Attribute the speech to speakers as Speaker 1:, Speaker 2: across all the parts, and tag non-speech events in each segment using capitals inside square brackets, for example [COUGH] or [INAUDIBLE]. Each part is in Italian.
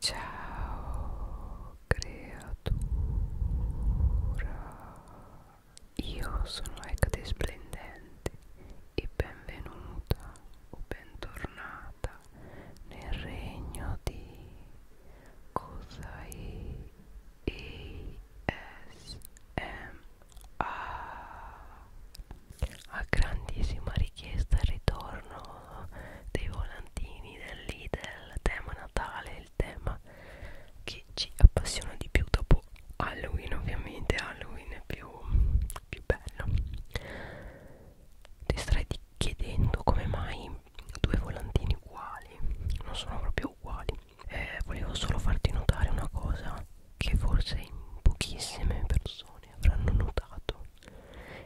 Speaker 1: Ciao creatura, io sono Ecate Splendente e benvenuta o bentornata nel regno di Cosai ASMR. A grandissima richiesta ritorno dei volantini del Lidl, tema Natale, il tema che ci appassiona di più dopo Halloween ovviamente, Halloween è più, più bello. Ti starei chiedendo come mai due volantini uguali, non sono proprio uguali. Eh, volevo solo farti notare una cosa che forse pochissime persone avranno notato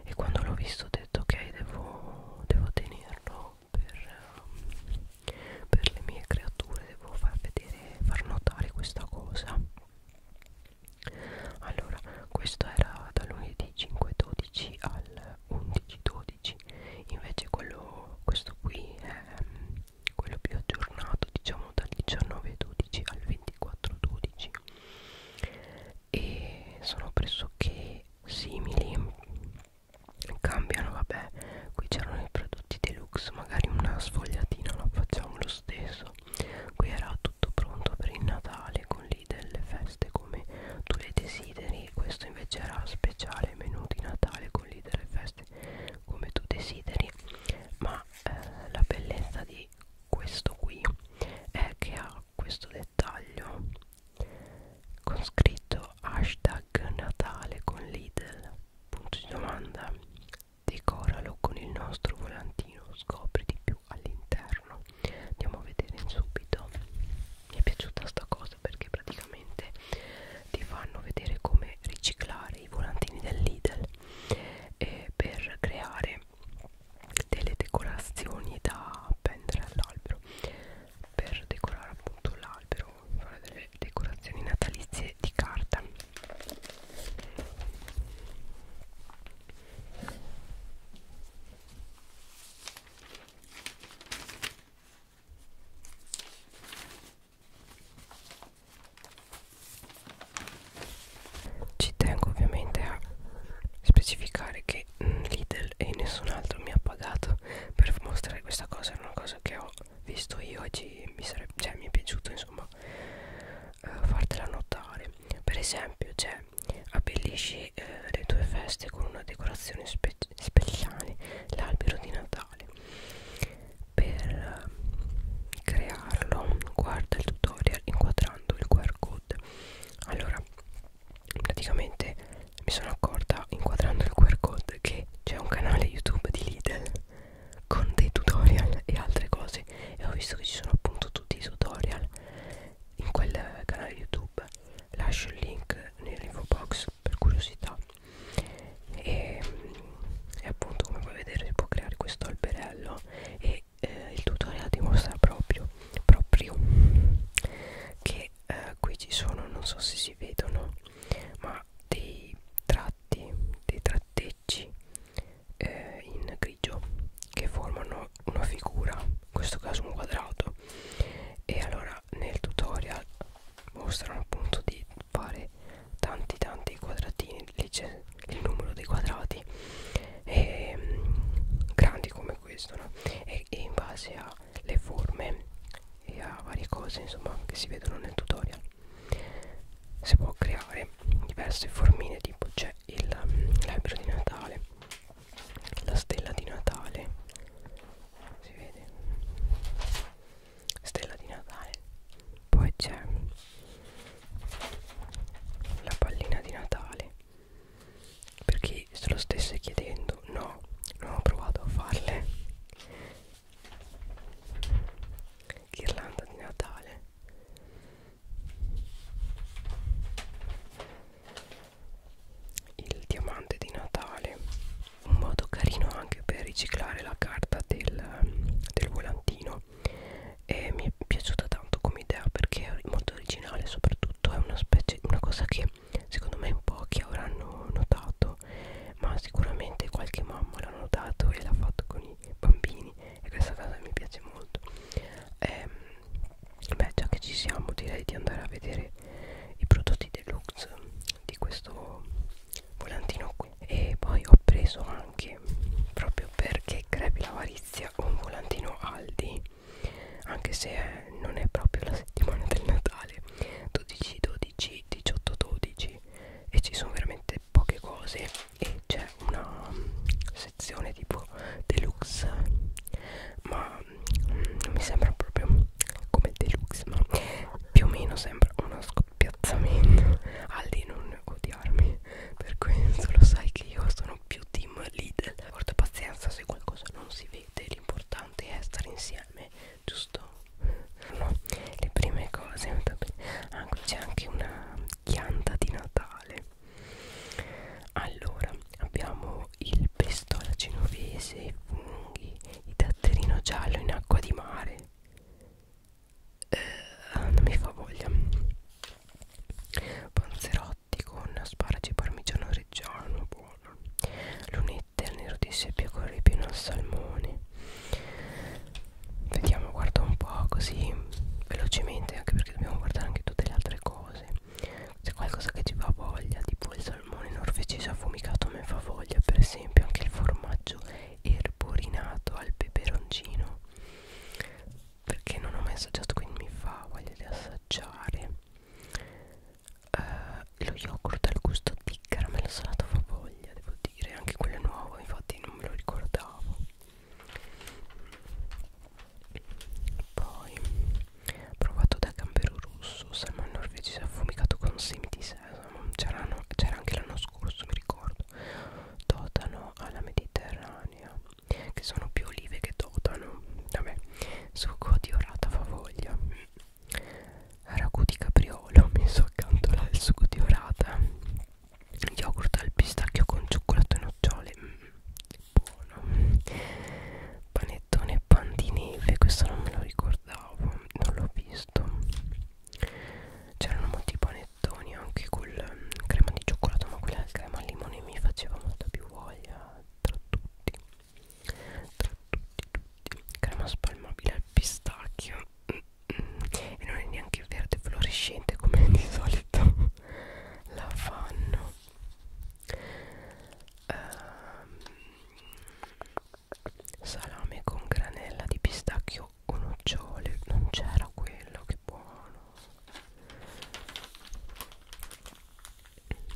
Speaker 1: e quando l'ho visto ho detto ok devo, devo tenerlo per, ehm, per le mie creature devo far vedere far notare questa cosa allora questo era da lunedì 5.12 al 11.12 invece quello, questo qui è ehm, quello più aggiornato diciamo dal 19.12 al 24.12 e sono pressoché simili cambiano vabbè qui c'erano i prodotti deluxe magari una sfogliatina la facciamo lo stesso qui era tutto pronto per il Natale con lì delle feste come tu le desideri questo invece era speciale menù di Natale con lì delle feste come tu desideri ma eh, la bellezza di questo qui è che ha questo dettaglio con scritto hashtag natale con Lidl punto di domanda decoralo con il nostro volantino scopri di più all'interno andiamo a vedere subito mi è piaciuta sta cosa perché praticamente ti fanno vedere come riciclare i volantini del Lidl eh, per creare delle decorazioni da appendere all'albero per decorare appunto l'albero fare delle decorazioni natalizie di carta ci tengo ovviamente a specificare che che Lidl e nessun altro mi ha pagato per mostrare questa cosa. È una cosa che ho visto io oggi mi sarebbe, cioè, mi è piaciuto insomma uh, fartela notare. Per esempio, cioè, abbellisci eh, le tue feste con una decorazione spe speciale, l'albero di Natale. Per uh, crearlo, guarda il tutorial inquadrando il QR code. Allora, praticamente mi sono accorta inquadrando il QR code che c'è un canale YouTube di Lidl con dei tutorial e altre cose e ho visto che ci sono appunto tutti i tutorial in quel canale YouTube lascio il link nell'info box per curiosità e, e appunto come puoi vedere si può creare questo alberello e eh, il tutorial dimostra proprio proprio che eh, qui ci sono non so se si vedono ma dei tratti dei tratteggi eh, in grigio che formano una figura in questo caso un quadrato e allora nel tutorial mostrano appunto di fare tanti tanti quadratini lì c'è il numero dei quadrati e, ehm, grandi come questo no? e e, e in base alle forme e a varie cose insomma che si vedono nel tutorial si può creare diverse formine tipo c'è mm, l'albero di Natale la stella di Natale si vede stella di Natale poi c'è la pallina di Natale per chi se lo stesse chiedendo no non ho provato a farle ghirlanda di Natale il diamante di Natale un modo carino anche per riciclare la carta del, del volantino e mi è piaciuta tanto come idea perché è molto originale soprattutto è una specie una cosa che secondo me in pochi avranno notato ma sicuramente qualche mamma l'ha notato e l'ha fatto con i bambini e questa cosa mi piace molto ehm, beh già che ci siamo direi di andare a vedere i prodotti deluxe di questo volantino qui e poi ho preso anche proprio perché crepi l'avarizia un volantino Aldi anche se è, non è proprio la settimana del Natale 12 12 18 12 e ci sono veramente poche cose e c'è una sezione tipo deluxe ma non mm, mi sembra proprio come deluxe ma più o meno sembra uno scoppiazzamento [LAUGHS] Aldi non odiarmi per questo [LAUGHS] lo sai che io sono più team Lidl porta pazienza se qualcosa non si vivete l'importante è stare insieme giusto [LAUGHS] no, le prime cose ah, c'è anche una chianta di natale allora abbiamo il pestola genovese i funghi il datterino giallo in acqua di mare eh, ah, non mi fa voglia panzerotto biscotti con asparagi parmigiano reggiano buono lunette al nero di seppia con ripieno al salmone vediamo guarda un po' così velocemente anche perché dobbiamo guardare anche tutte le altre cose c'è qualcosa che ci fa voglia tipo il salmone norvegese affumicato mi fa voglia per esempio anche il formaggio erborinato al peperoncino perché non ho mai assaggiato quindi mi fa voglia di assaggiare eh, lo yogurt al gusto di caramello salato favoglia devo dire anche quello è nuovo infatti non me lo ricordavo poi provato da gambero russo salmone norvegese affumicato con semi di sesamo c'era anche l'anno scorso mi ricordo totano alla mediterranea che sono più olive che totano vabbè succo di orata favoglia ragù di capriolo messo accanto al succo di orata yogurt al pistacchio con cioccolato e nocciole mm, buono panettone e pan di neve questo non me lo ricordavo non l'ho visto c'erano molti panettoni anche col mm, crema di cioccolato ma quella del crema al limone mi faceva molta più voglia tra tutti tra tutti tutti crema spalmabile al pistacchio mm, mm. e non è neanche verde fluorescente come [LAUGHS] di solito la fanno um, salame con granella di pistacchio o nocciole non c'era quello che buono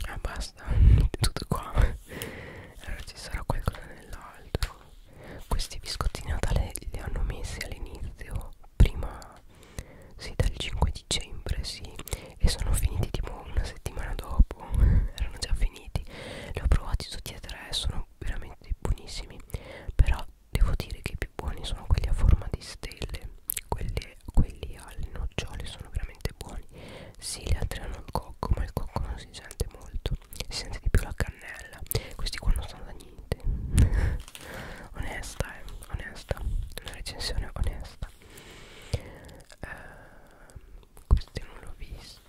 Speaker 1: ah basta è tutto qua allora ci sarà qualcosa nell'altro questi biscottini natale li hanno messi all'inizio prima sì dal 5 dicembre sì e sono finiti tipo una settimana dopo erano già finiti li ho provati tutti e tre sono veramente buonissimi però devo dire che i più buoni sono quelli a forma di stelle quelli perché quelli alle nocciole sono veramente buoni sì le altre hanno il cocco ma il cocco non si sente molto si sente di più la cannella questi qua non sono da niente [LAUGHS] onesta eh onesta una recensione onesta uh, questi non l'ho visti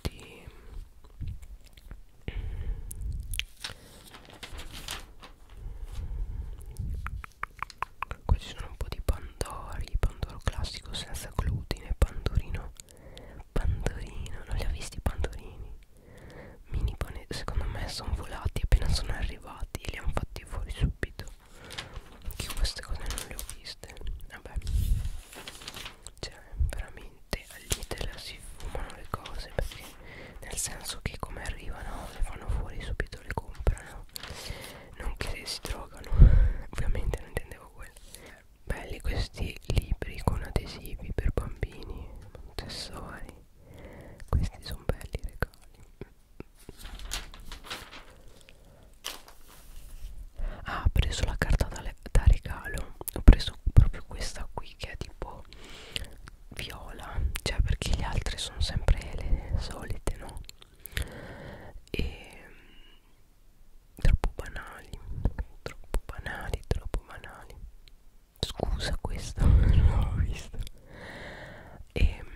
Speaker 1: Qui ci sono un po' di pandori, pandoro classico senza glutine, pandorino, pandorino, non li ho visti i pandorini. Mini pane, secondo me sono volati appena sono arrivati e li hanno fatti fuori subito. Che queste cose non le ho viste. Vabbè, cioè veramente all'Italia si fumano le cose perché nel senso che come arrivano le fanno fuori subito le comprano non che si drogano [LAUGHS] ovviamente non intendevo quello belli questi libri con adesivi per bambini accessori questi sono belli regali ah ho preso la carta da, da regalo ho preso proprio questa qui che è tipo viola cioè perché le altre sono sempre le solite no e troppo banali troppo banali troppo banali scusa questa [LAUGHS] non l'ho vista e, ehm,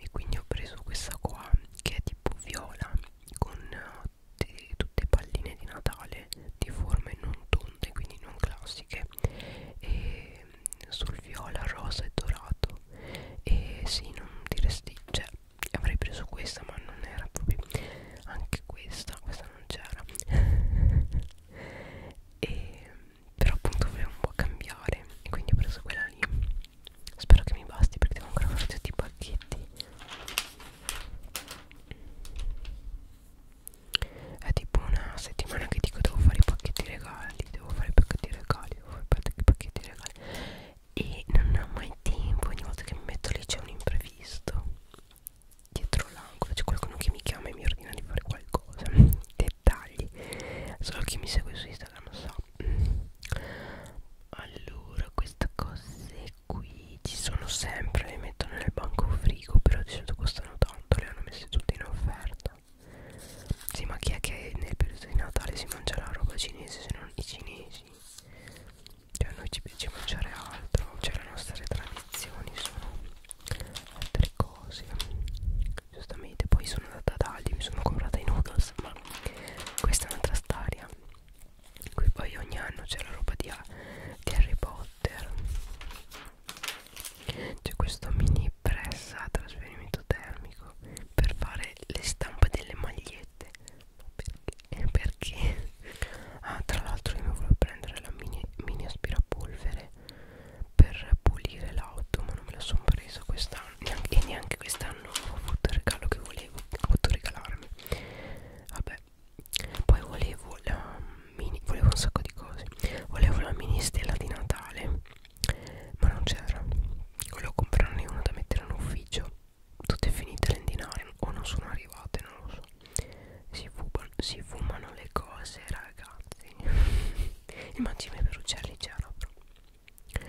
Speaker 1: e quindi ho preso questa qua che è tipo viola con tutte palline di Natale di forme non tonde quindi non classiche e sul viola, rosa e dorato e sì non diresti cioè avrei preso questa ma non era proprio anche questa questa non c'era [LAUGHS] e però appunto volevo un po' cambiare e quindi ho preso quella lì spero che mi basti perché devo ancora fare tutti i pacchetti è tipo una settimana che dico devo fare i pacchetti regali devo fare i pacchetti regali devo fare i pacchetti regali e non ho mai tempo ogni volta che mi metto lì c'è un imprevisto dietro l'angolo c'è qualcuno che mi chiama e mi ordina di fare qualcosa [LAUGHS] dettagli solo chi mi segue su Instagram lo sa mm. allora queste cose qui ci sono sempre le metto nel banco frigo però di solito costano tanto le hanno messe tutte in offerta sì, ma chi è che nel periodo di Natale si mangia la roba cinese se non i cinesi? Cioè a noi ci piace mangiare altro, cioè le nostre tradizioni sono altre cose. Giustamente, poi sono andata ad Aldi, mi sono comprata i noodles, ma questa è un'altra storia. Qui poi ogni anno c'è la roba di, di Harry Potter. C'è questo mini press a trasferimento isolamento termico per fare le stampe delle magliette ma perché? Eh, perché? [LAUGHS] ah tra l'altro io mi volevo prendere la mini, mini aspirapolvere per pulire l'auto ma non me la sono presa quest'anno e neanche quest'anno ho avuto il regalo che volevo ho voluto regalarmi vabbè poi volevo la mini volevo un sacco di cose volevo la mini stella di Natale ma non c'era volevo comprarne una da mettere in ufficio tutte finite le indinare o non sono arrivate non lo so si fumano, si fumano le cose ragazzi [LAUGHS] il mangime per uccelli c'era però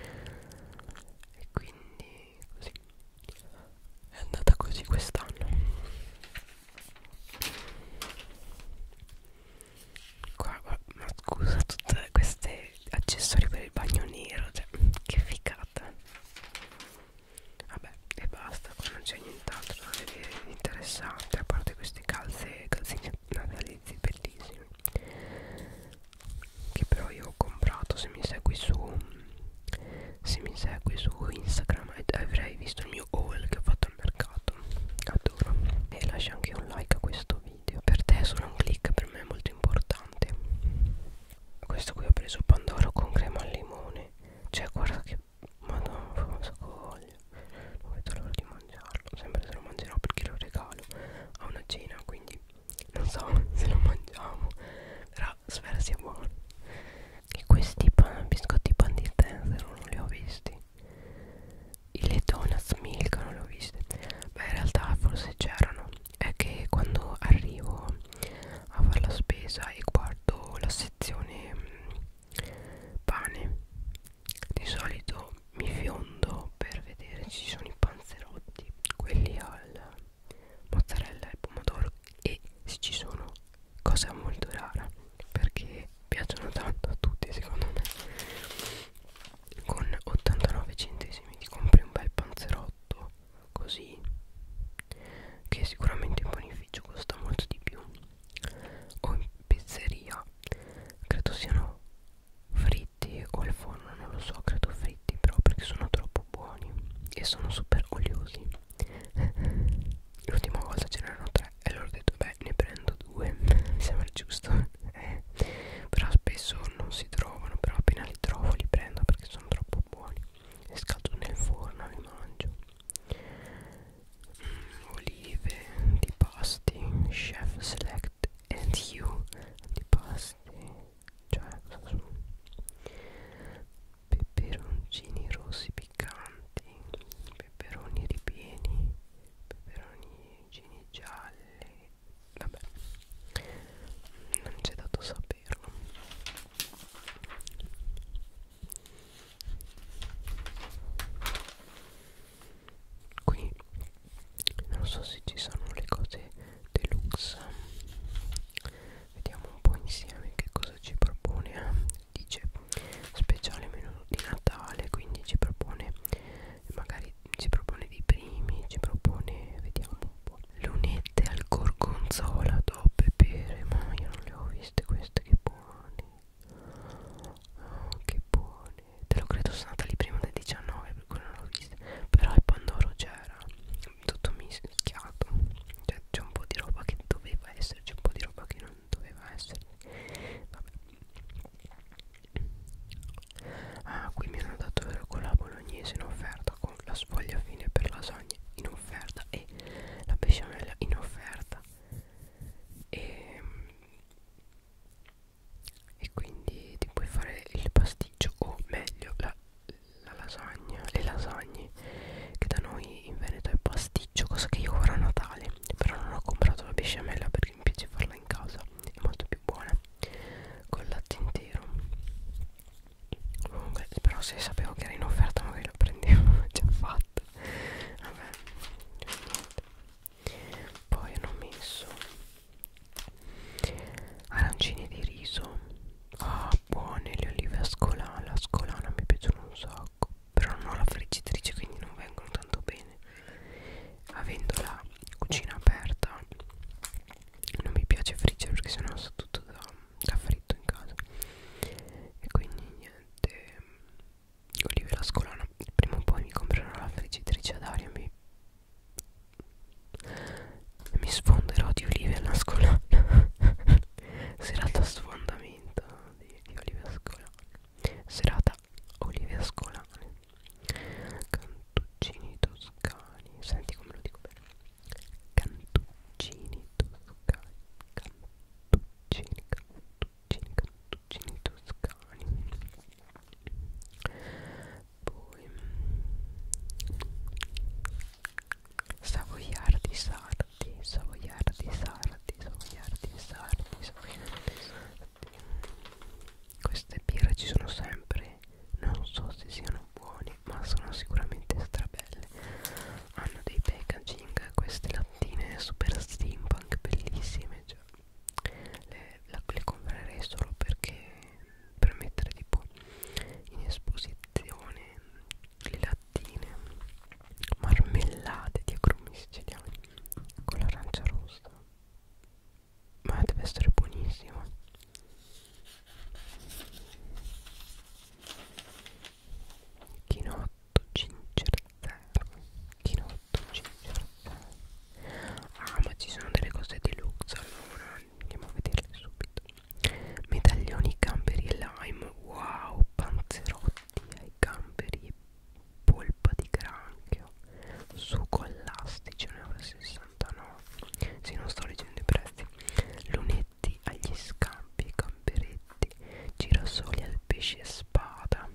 Speaker 1: e quindi così è andata così quest'anno Qua, qua, ma scusa, tutte queste accessori per il bagno nero, cioè, che figata. Vabbè, e basta, qua non c'è nient'altro da vedere di interessante, a parte queste calze, calzini natalizi bellissimi. Che però io ho comprato, se mi segui su, se mi segui su Instagram avrai visto il mio haul che ho fatto al mercato. Adoro. E lascia anche un like a questo video video per te è solo un click per me è molto importante questo qui ho preso pandoro con crema al limone cioè guarda che madonna fa un sacco olio non vedo l'ora di mangiarlo sempre se lo mangerò perché lo regalo a una cena quindi non so [LAUGHS] se lo mangiamo però spero sia buono e questi pan, biscotti pan di zenzero non li ho visti le donuts milk non le ho viste beh in realtà forse c'erano è che quando arrivo a fare la spesa e guardo la sezione mh, mm, pane di solito mi fiondo per vedere se ci sono i panzerotti quelli al mozzarella e pomodoro e se ci sono cosa molto rara perché piacciono tanto a tutti secondo me con 89 centesimi ti compri un bel panzerotto così che sicuramente in panificio costa molto di più o in pizzeria credo siano fritti o al forno non lo so credo fritti però perché sono troppo buoni e sono super oliosi [LAUGHS] l'ultima volta ce n'erano tre e allora ho detto beh ne prendo due mi [LAUGHS] sembra giusto eh, però spesso non si trovano però appena li trovo li prendo perché sono troppo buoni li scaldo nel forno li mangio mm, olive antipasti chef select and you antipasti cioè cosa sono peperoncini rossi piccanti peperoni ripieni peperoni cuoricini gialli vabbè non c'è dato saperlo qui non so se ci sono le cose deluxe vediamo un po' insieme che cosa ci propone dice speciale menù di Natale quindi ci propone magari ci propone dei primi ci propone vediamo un po' lunette al gorgonzola doppe pere ma io non le ho viste queste che buone oh, che buone te lo credo sono andata lì prima del 19 per cui non l'ho viste però il pandoro c'era tutto mischiato cioè c'è un po' di roba che doveva esserci un po' di roba che non doveva esserci vabbè Ah, qui mi hanno dato la bolognese in offerta con la sfoglia fine per lasagne in offerta e la besciamella in offerta e, ehm, e quindi ti puoi fare il pasticcio o meglio la, la lasagna, le lasagne che da noi in Veneto è pasticcio, cosa che io farò a Natale però non ho comprato la besciamella perché mi piace farla in casa è molto più buona col latte intero comunque però se sapevo che era in offerta magari lo prendevo [LAUGHS] già fatto vabbè poi hanno messo arancini di riso ah buone le olive a scolana la scolana mi piacciono un sacco però non ho la friggitrice quindi non vengono tanto bene avendola cucina aperta non mi piace friggere perché sennò so tutto da, da fritto in casa e quindi niente Olivia Scolana prima o poi mi comprerò la friggitrice ad aria mi, mi sfonderò di Olivia Lascolana [LAUGHS] serata sfondamento di, di Olivia Scolana serata Olivia Scolana cantuccini toscani senti come lo dico bene cantuccini toscani cantuccini cantuccini cantuccini toscani poi mm, savoiardi sardi savoiardi sardi savoiardi sardi savoiardi sardi queste birre ci sono sempre non so se siano buoni ma sono sicuramente strabelle hanno dei packaging queste lattine super steampunk bellissime cioè, le, la, le comprerei solo perché per mettere tipo in esposizione le lattine marmellate di agrumi siciliani con l'arancia rossa ma deve essere buonissimo chinotto gingerzello chinotto gingerzello ah ma ci sono delle cose deluxe allora andiamo a vederle subito medaglioni gamberi e lime wow panzerotti ai gamberi polpa di granchio succo elastico 1,60 69 se non sto leggendo i prezzi lunetti agli scampi camperetti girasoli al pesce spada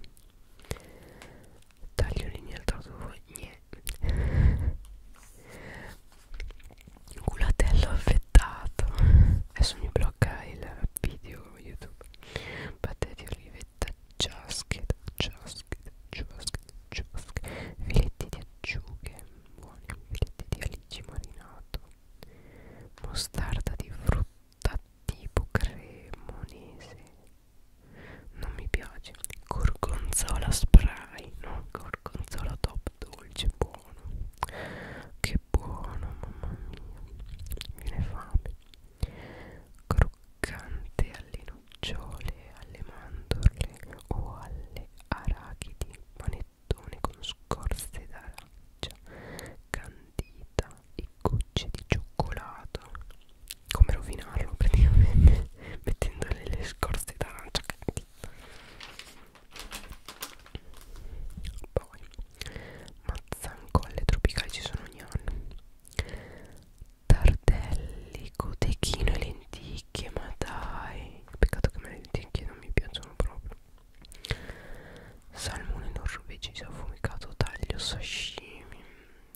Speaker 1: tagliolini al tatuagne culatello affettato adesso mi blocca il video youtube patate di olivetta ciaschetta ciaschetta ciaschetta ciaschetta filetti di acciughe buone fritte di alici marinato mostarda di frutta tipo cremonese non mi piace gorgonzola spray no gorgonzola top dolce buono che buono mamma mia mi viene fame croccante allino nocciole, alle mandorle o alle arachidi, panettone con scorze d'arancia, candita e gocce di cioccolato. Come rovinarlo praticamente [LAUGHS] mettendole le scorze d'arancia candita. Poi, mazzancolle tropicali ci sono ogni anno tardelli, cotechino e lenticchie ma dai peccato che me le lenticchie non mi piacciono proprio salmone non rubeciso affumicato taglio sashimi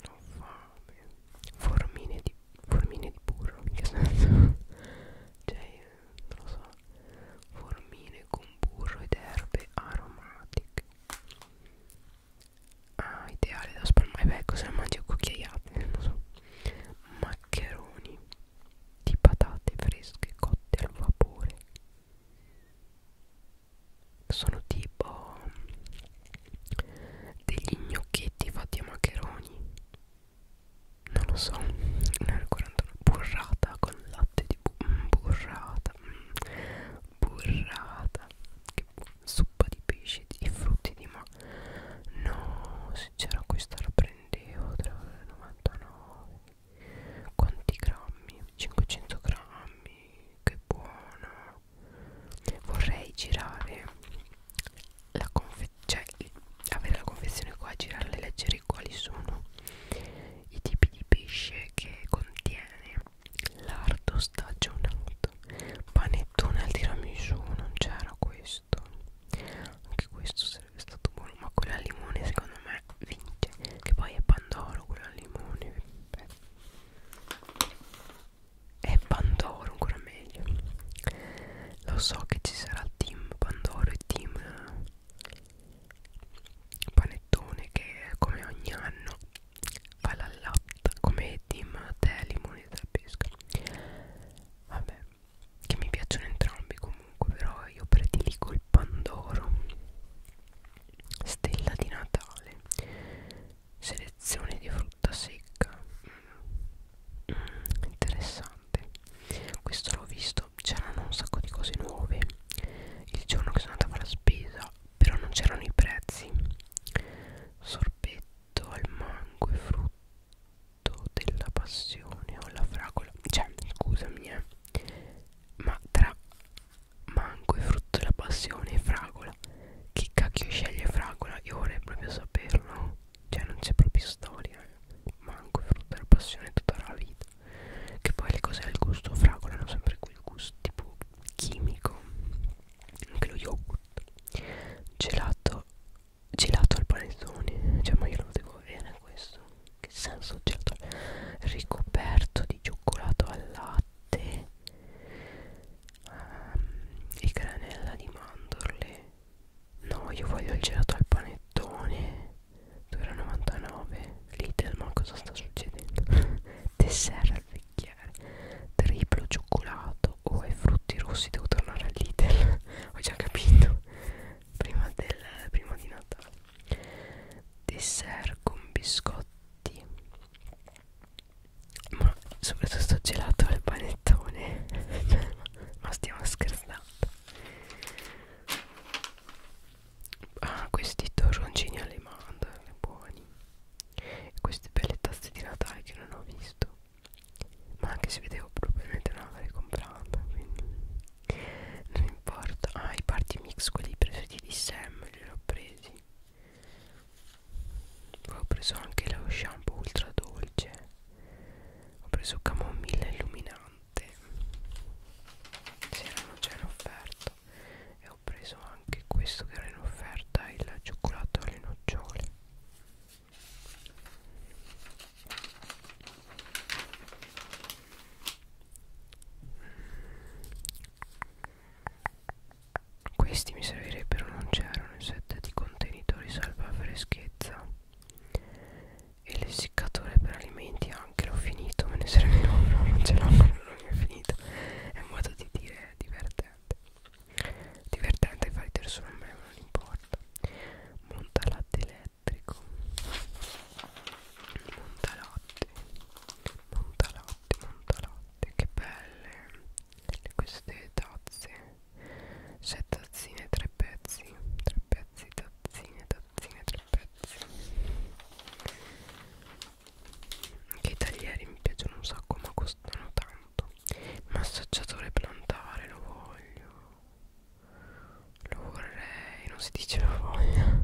Speaker 1: non fa bene formine di, formine di burro in che senso [LAUGHS] cioè non lo so formine con burro ed erbe aromatiche ah ideale da spalmare beh cosa mangi cucchiaiate non so ma maccheroni di patate fresche cotte al vapore sono tipo degli gnocchetti fatti a maccheroni non lo so nel 41 burrata con latte di bu mm, burrata mm, burrata che bu suppa di pesce e frutti di ma no sincero questa la prendevo 3,99 quanti grammi 500 grammi che buona vorrei girare la confezione cioè avere la confezione qua girarla e leggere quali sono i tipi di pesce che contiene lardo stagionato panettone al tiramisù non c'era questo anche questo sarebbe stato buono ma quello al limone secondo me vince che poi è pandoro quello al limone Beh. è pandoro ancora meglio lo so che ci sarà team pandoro e team eh, panettone che come ogni anno fa la latta come team te limone e te pesca vabbè che mi piacciono entrambi comunque però io prediligo il pandoro stella di natale selezione di frutta secca mm, interessante questo l'ho visto c'erano un sacco di cose nuove il giorno che sono andata a fare la spesa però non c'erano i prezzi sorbetto al mango e frutta della passione o la fragola cioè scusami eh ma tra mango e frutto della passione e fragola chi cacchio sceglie fragola io vorrei proprio saperlo cioè non c'è proprio storia eh. mango e frutto della passione tutta la vita che poi le cose del gusto fragola hanno sempre quel gusto tipo chimico anche lo yogurt gelato gelato al panettone cioè ma io lo devo avere questo che senso gelato ricoperto di cioccolato al latte um, e granella di mandorle no io voglio il gelato al panettone 2,99 Lidl ma cosa sta succedendo [LAUGHS] dessert al vecchiere triplo cioccolato o oh, ai frutti rossi devo tornare a Lidl ho già capito prima, del, prima di Natale dessert con biscotti ma soprattutto gelato al panettone [LAUGHS] ma stiamo scherzando ah questi torroncini alle mandorle buoni e queste belle tazze di Natale che non ho visto ma anche se vedevo probabilmente non l'avrei comprata quindi non importa ah i party mix quelli presi di Sam li ho presi poi ho preso anche lo shampoo ultra dolce ho preso camomilla illuminante se erano già in offerta e ho preso anche questo che era in offerta il cioccolato alle nocciole questi mi servirebbero, non c'erano i set di contenitori salva freschezza e l'essiccatore per alimenti anche l'ho finito, me ne serve uno, non ce l'ho, non l'ho finito. È un modo di dire divertente divertente fa ridere solo a me ma non importa montalatte elettrico montalatte montalatte montalatte che belle queste tazze 6 tazzine 3 pezzi 3 pezzi tazzine tazzine 3 pezzi anche i taglieri mi piacciono un sacco ma costano tanto massaggiatore plantare lo voglio lo vorrei, non si dice la voglia. [LAUGHS]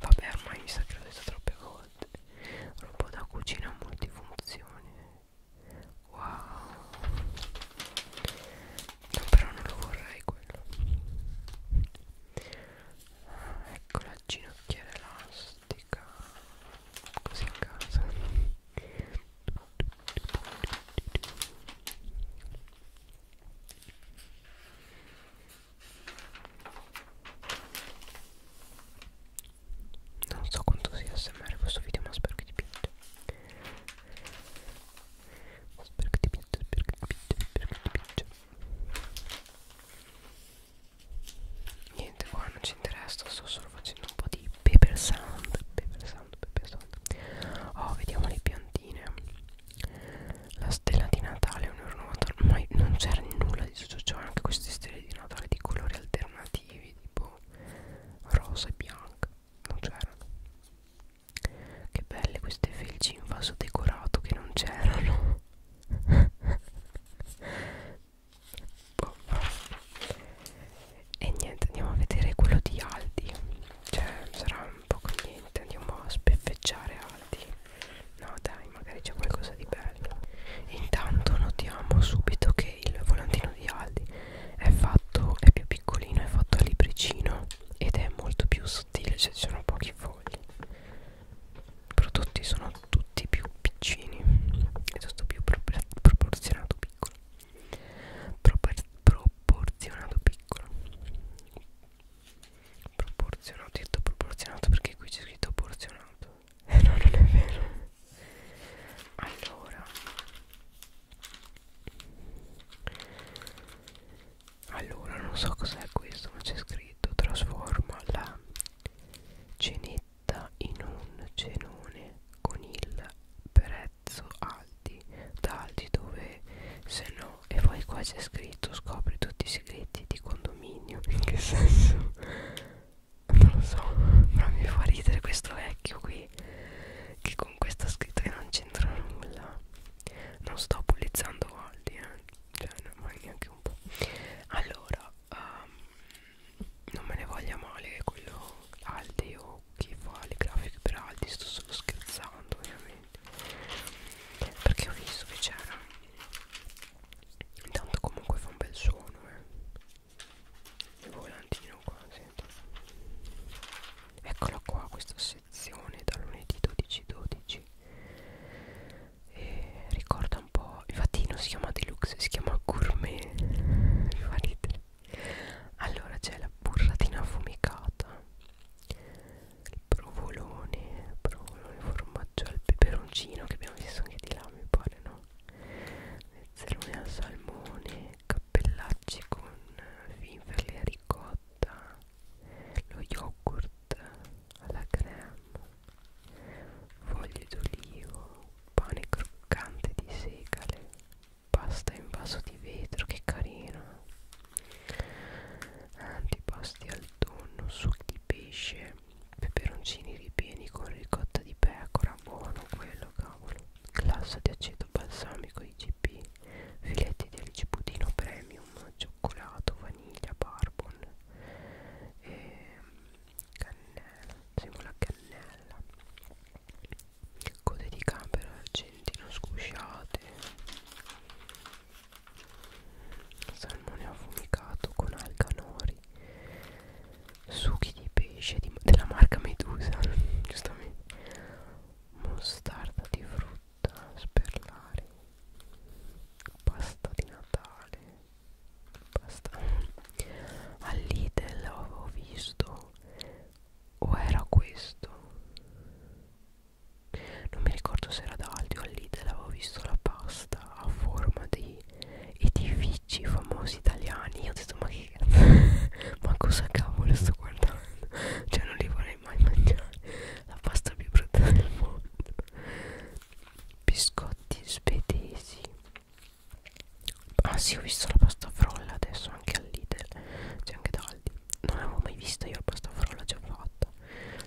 Speaker 1: Vabbè, ormai mi sa che l'ho detto troppe volte. Robot da cucina multifunzione. Wow. No, però non lo vorrei quello. Ah, ecco la ginocchiera elastica. Così in casa. Non so quanto sia smr questo video ma spero che ti piaccia Spero che ti piaccia, spero che ti piaccia, spero che ti piaccia Niente qua non ci interessa, sto solo facendo un po' di di Paper Sound Paper Sound, Paper Sound Oh, vediamo le piantine La stella di Natale ormai non c'era nulla di tutto ciò Anche queste stelle di Natale di colori alternativi Tipo rosa e bianca Non c'erano Che belle queste felci in vaso decorato che non c'erano [LAUGHS] boh e niente andiamo a vedere quello di Aldi cioè sarà un po' con niente andiamo a speffeggiare Aldi no dai magari c'è qualcosa di bello intanto notiamo subito che il volantino di Aldi è fatto è più piccolino è fatto a libricino ed è molto più sottile cioè ci sono pochi fogli i prodotti sono tutti più piccini e tutto più pro proporzionato piccolo proporzionato piccolo proporzionato, ho detto proporzionato perché qui c'è scritto porzionato eh no non è vero allora allora non so cos'è questo ma c'è scritto trasforma la cenetta in un cenone con il prezzo Aldi da Aldi dove se no e poi qua c'è scritto scopri tutti i segreti di condominio in che senso non lo so però mi fa ridere questo vecchio qui che con questa scritta che non c'entra nulla non sto bullizzando Aldi eh. cioè non neanche un po' allora um, non me ne voglia male quello Aldi o chi fa le grafiche per Aldi sto solo scherzando ovviamente perché ho visto che c'era intanto comunque fa un bel suono eh. il volantino qua sento eccola qua questa sezione da lunedì 12 12 e ricorda un po' infatti non si chiama deluxe si chiama gourmet mi fa ridere allora c'è la burratina affumicata il provolone provolone formaggio al peperoncino che abbiamo visto anche di là mi pare no Mezzerone al salmone cappellacci con finferli a ricotta lo yogurt alla crema foglie d'olivo pane croccante di segale pasta in vaso di vetro che carino antipasti al tonno succhi di pesce peperoncini ripieni con ricotta di pecora buono quello cavolo glassa di aceto balsamico IGP filetti di alice budino premium cioccolato vaniglia barbon e ehm, cannella sembra cannella code di camera argentino scusciate salmone affumicato con alcanori succhi di pesce di, della marca Medusa [LAUGHS] giustamente mostarda di frutta sperlare pasta di Natale pasta [LAUGHS] all'Idel ho visto o era questo non mi ricordo se era da Aldi o all'Idel avevo visto la pasta a forma di edifici famosi italiani io ho detto ma che [LAUGHS] ma cosa cavolo sto guardando [LAUGHS] cioè non li vorrei mai mangiare la pasta più brutta del mondo biscotti svedesi ah sì ho visto la pasta frolla adesso anche all'Idel c'è anche da cavalli non l'avevo mai vista io la pasta frolla già fatta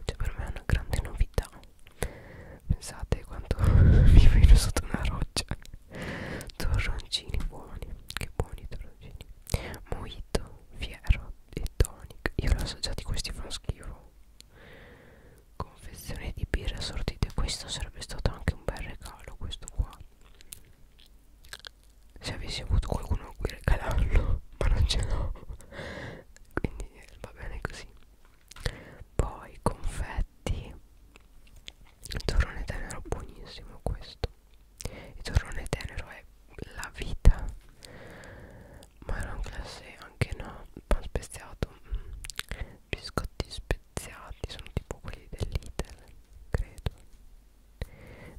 Speaker 1: cioè per me è una grande novità pensate quanto mi [LAUGHS] vedo sotto una roccia torroncini buoni che buoni torroncini mojito fiero e tonic io l'ho assaggiati questi fanno schifo confezione di birra assortite questo sarebbe stato anche un bel regalo questo qua se avessi avuto qualcuno a cui regalarlo [LAUGHS] ma non ce l'ho quindi va bene così poi confetti il torrone tenero buonissimo questo il torrone tenero è la vita marron classe anche no pan speziato mm. biscotti speziati sono tipo quelli dell'iter credo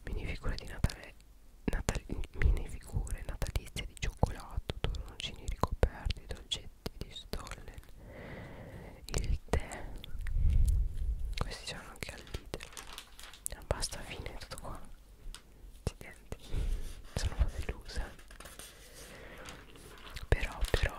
Speaker 1: minifigure di Natale natal minifigure natalizie di cioccolato torroncini ricoperti dolcetti di stollen il tè questi sono anche al Lidl ah, basta fine tutto qua accidenti sono delusa però però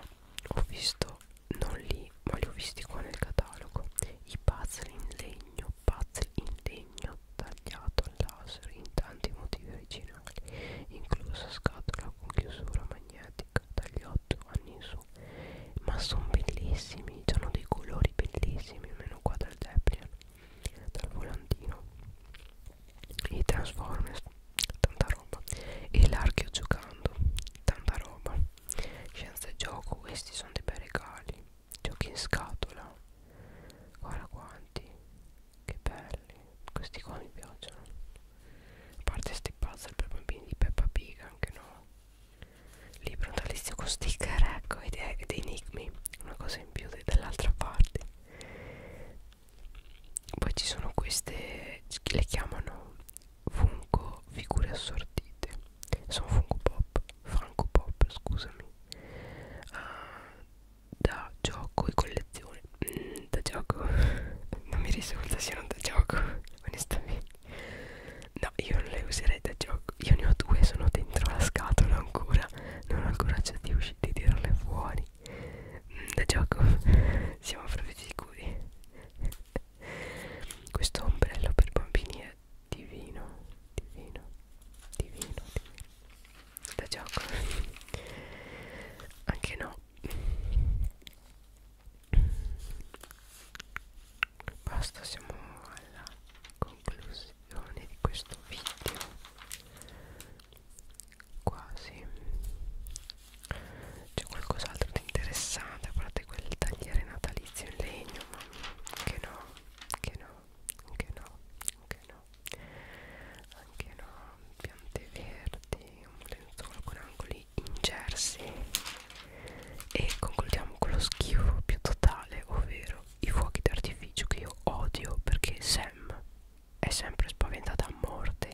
Speaker 1: ho visto non lì sì ma li ho visti qua nel catalogo i puzzle in legno puzzle in legno tagliato al laser in tanti motivi originali inclusa scatola con chiusura magnetica dagli 8 anni in su ma sono bellissimi hanno dei colori bellissimi almeno qua dal Deplian dal volantino i Transformers tanta roba e l'archeo giocando tanta roba Scienza e gioco, questi sono dei bei regali. Giochi in scatola. Guarda quanti. Che belli. Questi qua mi piacciono. A parte sti puzzle per bambini di Peppa Pig, anche no. Libro natalizio con sticker, ecco, ed, ed enigmi. Una cosa in più dall'altra parte. Poi ci sono queste, le chiamano fungo figure assortite. Sono fungo pop. Franco Pop scusami uh, da gioco e collezione mm, da gioco [LAUGHS] non mi risulta siano da gioco [LAUGHS] onestamente no io non le userei da gioco io ne ho due sono dentro la scatola ancora non ho il coraggio di uscire di tirarle fuori mm, da gioco [LAUGHS] siamo proprio sicuri questo ombrello per bambini è divino divino divino, divino. da gioco anche no basta siamo alla conclusione di questo video quasi c'è qualcos'altro di interessante a parte quel tagliere natalizio in legno ma che no, che no, che no, che no anche no, piante verdi, un lenzuolo con angoli incersi e concludiamo con lo schifo più totale, ovvero i fuochi d'artificio che io odio perché Sam è sempre spaventata a morte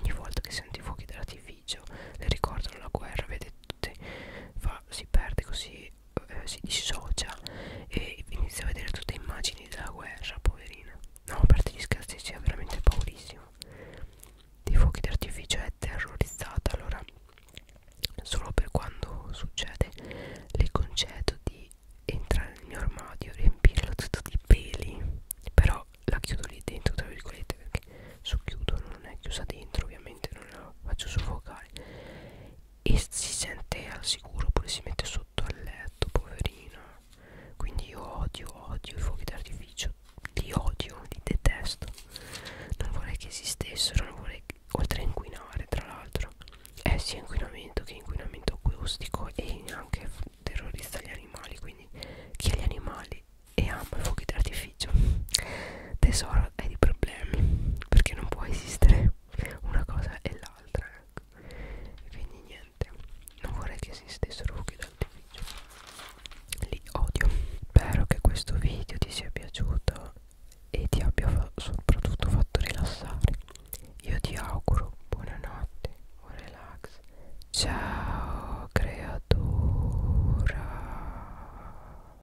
Speaker 1: ogni volta che sento i fuochi d'artificio le ricordano la guerra, vede notte fa, si perde così eh, si dissocia e inizia a vedere tutte le immagini della guerra poverina no a parte gli scherzi sia veramente paurissimo dei fuochi d'artificio è terrorizzata allora solo per quando succede le concedo di entrare nel mio armadio riempirlo tutto di peli però la chiudo lì dentro tra virgolette perché socchiudo non è chiusa dentro ovviamente non la faccio soffocare fare e si sente al sicuro oppure si mette sotto al letto poverino quindi io odio odio i fuochi d'artificio li odio li detesto non vorrei che esistessero non vorrei che, oltre a inquinare tra l'altro è eh, sia inquinamento che inquinamento acustico e anche terrorista agli animali quindi chi ha gli animali e ama i fuochi d'artificio sacrificio tesoro hai dei problemi perché non può esistere una cosa e l'altra ecco. quindi niente non vorrei che esistessero fuochi d'artificio li odio spero che questo video ti sia piaciuto e ti abbia fa soprattutto fatto rilassare io ti auguro buonanotte buon relax ciao creatura